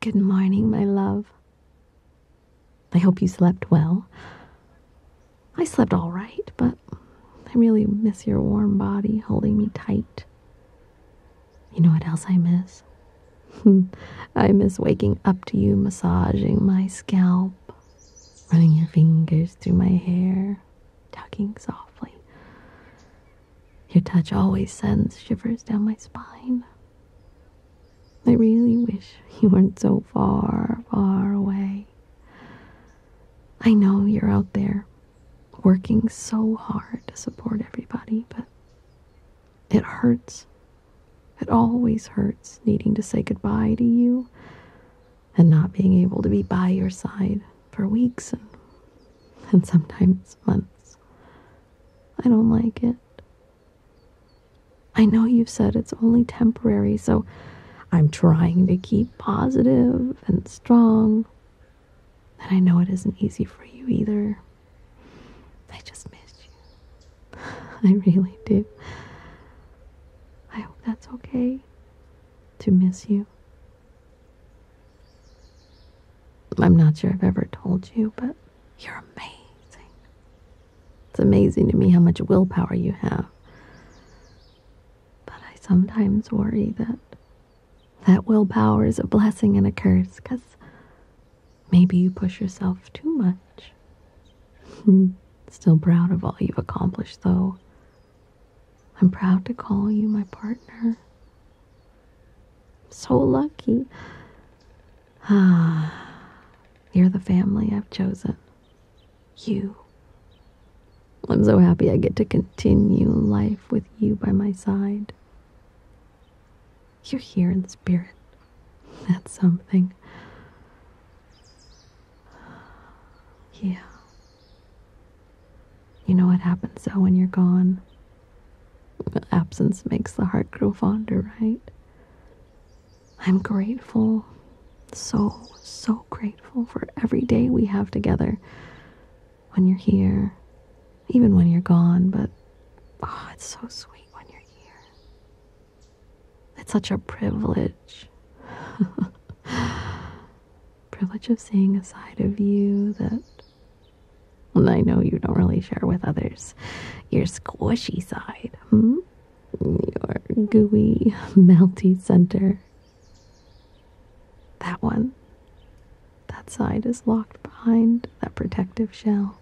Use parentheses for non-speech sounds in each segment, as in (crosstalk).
Good morning, my love. I hope you slept well. I slept all right, but I really miss your warm body holding me tight. You know what else I miss? (laughs) I miss waking up to you massaging my scalp, running your fingers through my hair, Talking softly. Your touch always sends shivers down my spine. I really wish you weren't so far, far away. I know you're out there working so hard to support everybody, but it hurts. It always hurts needing to say goodbye to you and not being able to be by your side for weeks and, sometimes months. I don't like it. I know you've said it's only temporary, so I'm trying to keep positive and strong. And I know it isn't easy for you either. I just miss you. (laughs) I really do. I hope that's okay to miss you I'm not sure I've ever told you, but you're amazing. It's amazing to me how much willpower you have. But I sometimes worry that that willpower is a blessing and a curse because maybe you push yourself too much. (laughs) Still proud of all you've accomplished, though. I'm proud to call you my partner. I'm so lucky. Ah, you're the family I've chosen. You. I'm so happy I get to continue life with you by my side. You're here in spirit. That's something. Yeah. You know what happens though when you're gone? Absence makes the heart grow fonder, right? I'm grateful, so, so grateful for every day we have together when you're here, even when you're gone, but oh, it's so sweet when you're here. It's such a privilege. (laughs) privilege of seeing a side of you that I know you don't really share with others. Your squishy side, hmm? Your gooey, melty center. That one. That side is locked behind that protective shell.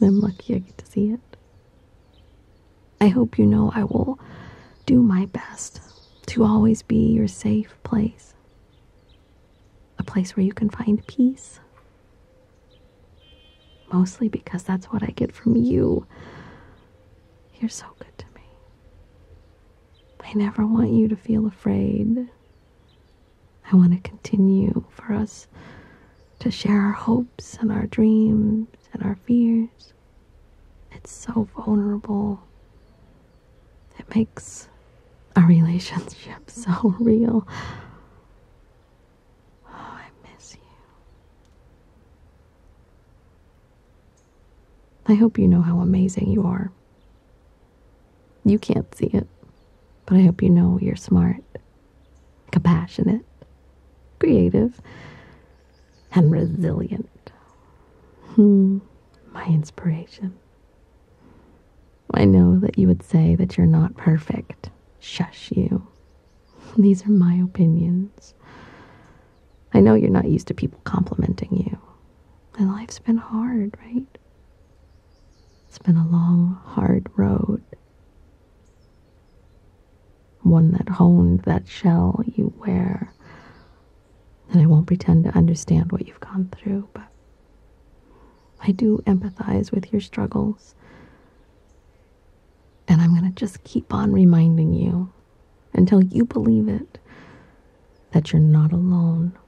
I'm (sighs) lucky I get to see it. I hope you know I will do my best to always be your safe place, a place where you can find peace. Mostly because that's what I get from you. You're so good to me. I never want you to feel afraid. I want to continue for us to share our hopes and our dreams and our fears. It's so vulnerable. It makes our relationship (laughs) so real. Oh, I miss you. I hope you know how amazing you are. You can't see it, but I hope you know you're smart compassionate, creative, and resilient. Hmm, my inspiration. I know that you would say that you're not perfect. Shush you. These are my opinions. I know you're not used to people complimenting you. And life's been hard, right? It's been a long, hard road. One that honed that shell you wear. And I won't pretend to understand what you've gone through, but I do empathize with your struggles. And I'm going to just keep on reminding you until you believe it that you're not alone.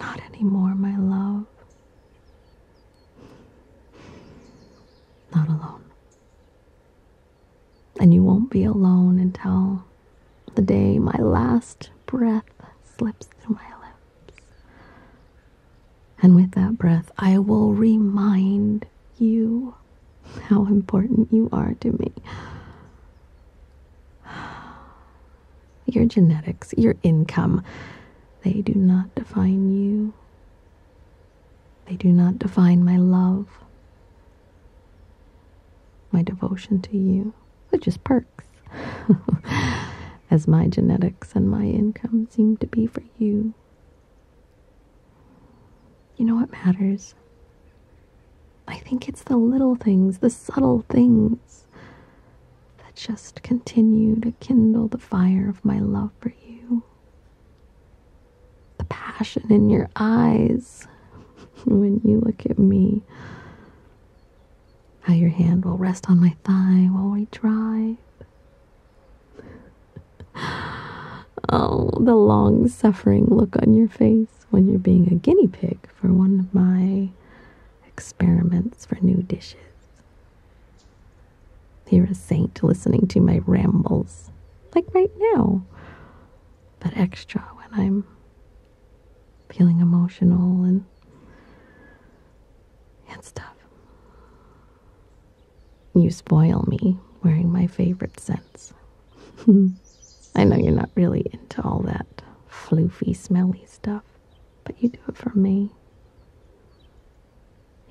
Not anymore, my love. Not alone. And you won't be alone until the day my last breath slips through my lips. And with that breath, I will remind you how important you are to me. Your genetics, your income, they do not define you. They do not define my love, my devotion to you, which is perks, (laughs) as my genetics and my income seem to be for you. You know what matters? I think it's the little things, the subtle things that just continue to kindle the fire of my love for you. The passion in your eyes (laughs) when you look at me. How your hand will rest on my thigh while we drive. (laughs) oh, the long suffering look on your face when you're being a guinea pig for one of my experiments for new dishes they a saint listening to my rambles, like right now, but extra when I'm feeling emotional and, and stuff. You spoil me wearing my favorite scents. (laughs) I know you're not really into all that floofy, smelly stuff, but you do it for me.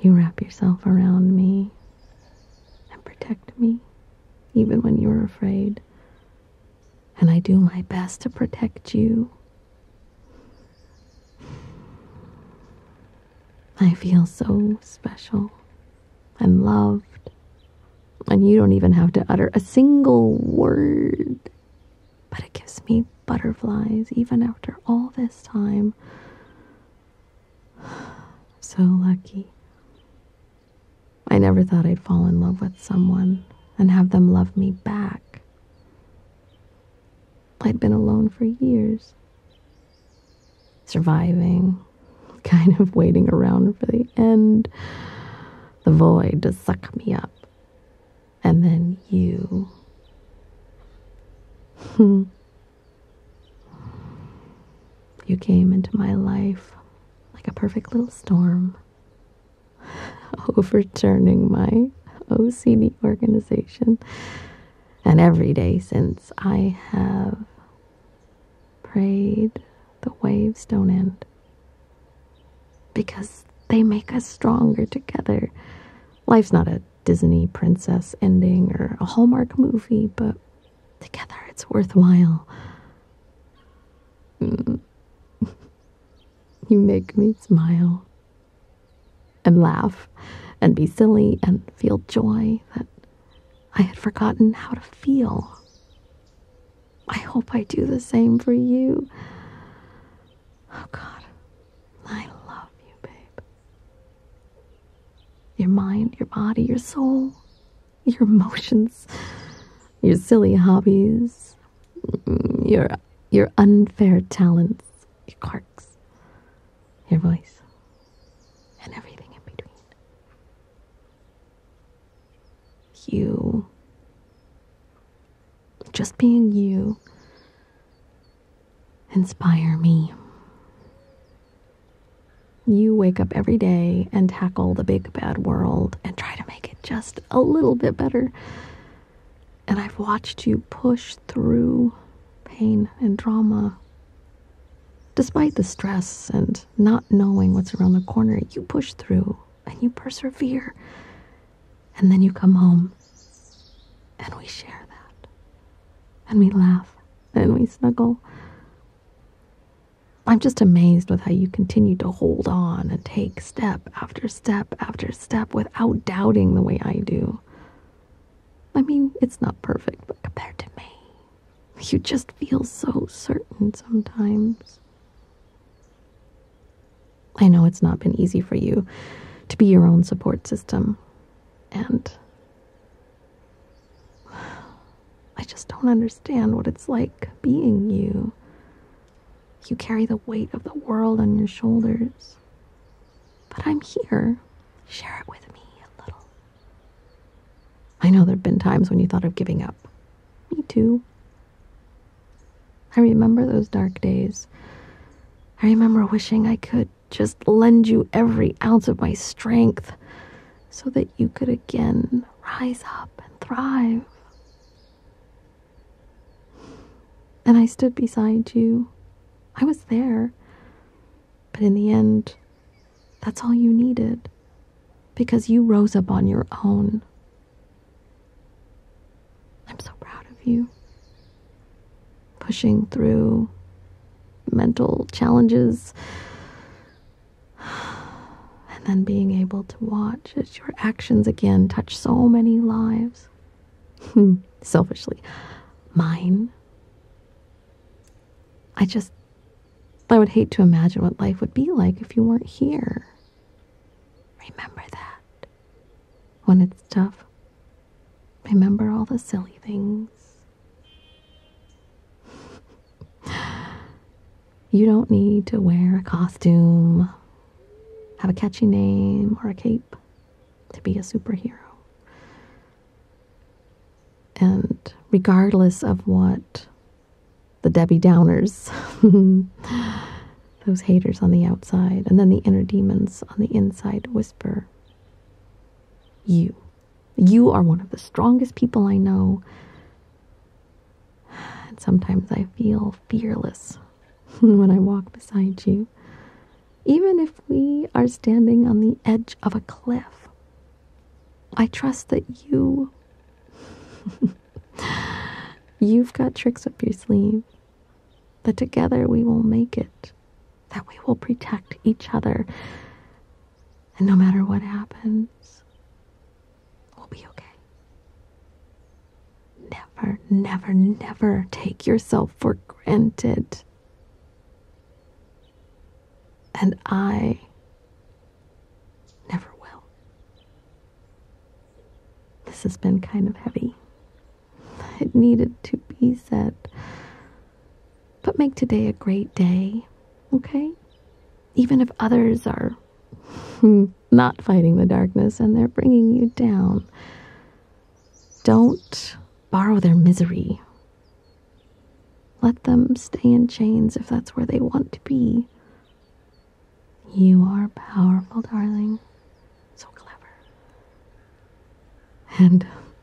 You wrap yourself around me and protect me, even when you're afraid. And I do my best to protect you. I feel so special and loved, and you don't even have to utter a single word but it gives me butterflies even after all this time. (sighs) so lucky. I never thought I'd fall in love with someone and have them love me back. I'd been alone for years, surviving, (laughs) kind of waiting around for the end, the void to suck me up and then you. you came into my life like a perfect little storm, (laughs) overturning my OCD organization. And every day since, I have prayed the waves don't end because they make us stronger together. Life's not a Disney princess ending or a Hallmark movie, but together it's worthwhile. Mm. (laughs) you make me smile and laugh and be silly and feel joy that I had forgotten how to feel. I hope I do the same for you. Oh, God. I love you, babe. Your mind, your body, your soul, your emotions, your silly hobbies, your, your unfair talents, your quirks, your voice, and everything in between. You just being you inspire me. You wake up every day and tackle the big bad world and try to make it just a little bit better. And I've watched you push through pain and drama. Despite the stress and not knowing what's around the corner, you push through and you persevere and then you come home and we share that. And we laugh and we snuggle. I'm just amazed with how you continue to hold on and take step after step after step without doubting the way I do. I mean, it's not perfect, but compared to me, you just feel so certain sometimes. I know it's not been easy for you to be your own support system, and (sighs) I just don't understand what it's like being you. You carry the weight of the world on your shoulders. But I'm here. Share it with me a little. I know there have been times when you thought of giving up. Me too. I remember those dark days. I remember wishing I could just lend you every ounce of my strength so that you could again rise up and thrive. And I stood beside you. I was there. But in the end, that's all you needed because you rose up on your own I'm so proud of you. Pushing through mental challenges (sighs) and then being able to watch as your actions again touch so many lives. (laughs) Selfishly, mine. I just, I would hate to imagine what life would be like if you weren't here. Remember that. When it's tough, remember all the silly things. (laughs) you don't need to wear a costume, have a catchy name, or a cape to be a superhero. And regardless of what the Debbie Downers (laughs) Those haters on the outside, and then the inner demons on the inside whisper. You. You are one of the strongest people I know. sometimes I feel fearless (laughs) when I walk beside you, even if we are standing on the edge of a cliff. I trust that you (laughs) You've got tricks up your sleeve. That together we will make it. That we will protect each other. And no matter what happens, we'll be okay. Never, never, never take yourself for granted. And I never will. This has been kind of heavy. It needed to be said. But make today a great day, okay? Even if others are (laughs) not fighting the darkness and they're bringing you down, don't borrow their misery. Let them stay in chains if that's where they want to be. You are powerful, darling. So clever. And, um,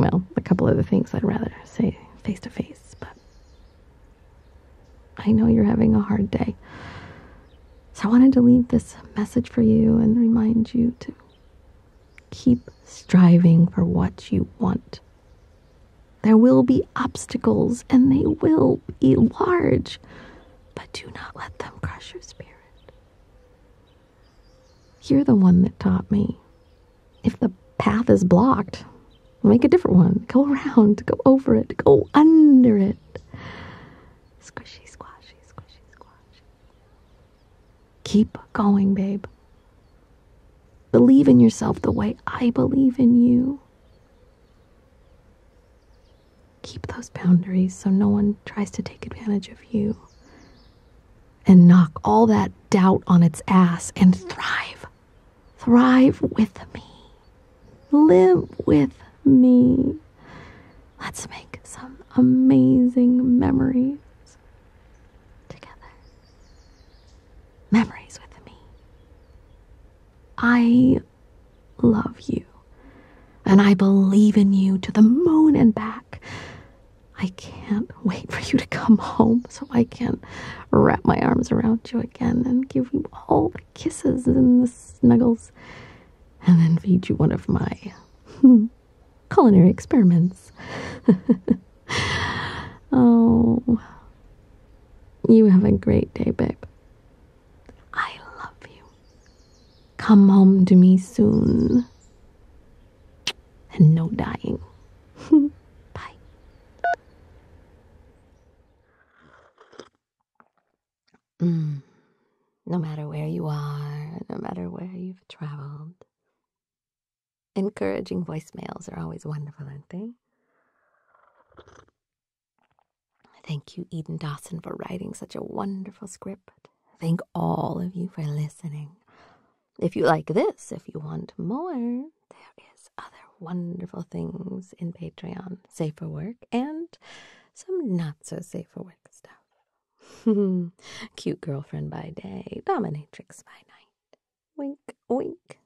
well, a couple of other things I'd rather say face to face, but I know you're having a hard day. So I wanted to leave this message for you and remind you to keep striving for what you want. There will be obstacles, and they will be large but do not let them crush your spirit. You're the one that taught me. If the path is blocked, make a different one. Go around, go over it, go under it. Squishy, squashy, squishy, squishy. Keep going, babe. Believe in yourself the way I believe in you. Keep those boundaries so no one tries to take advantage of you. And knock all that doubt on its ass and thrive. Thrive with me. Live with me. Let's make some amazing memories together. Memories with me. I love you. And I believe in you to the moon and back. I can't wait for you to come home so I can wrap my arms around you again and give you all the kisses and the snuggles and then feed you one of my (laughs) culinary experiments. (laughs) oh, you have a great day, babe. I love you. Come home to me soon. And no dying. (laughs) Bye. Mm. No matter where you are, no matter where you've traveled, encouraging voicemails are always wonderful, aren't they? Thank you, Eden Dawson, for writing such a wonderful script. Thank all of you for listening. If you like this, if you want more, there is other wonderful things in Patreon, safer work and some not so safer work stuff. (laughs) Cute girlfriend by day, dominatrix by night. Wink, wink.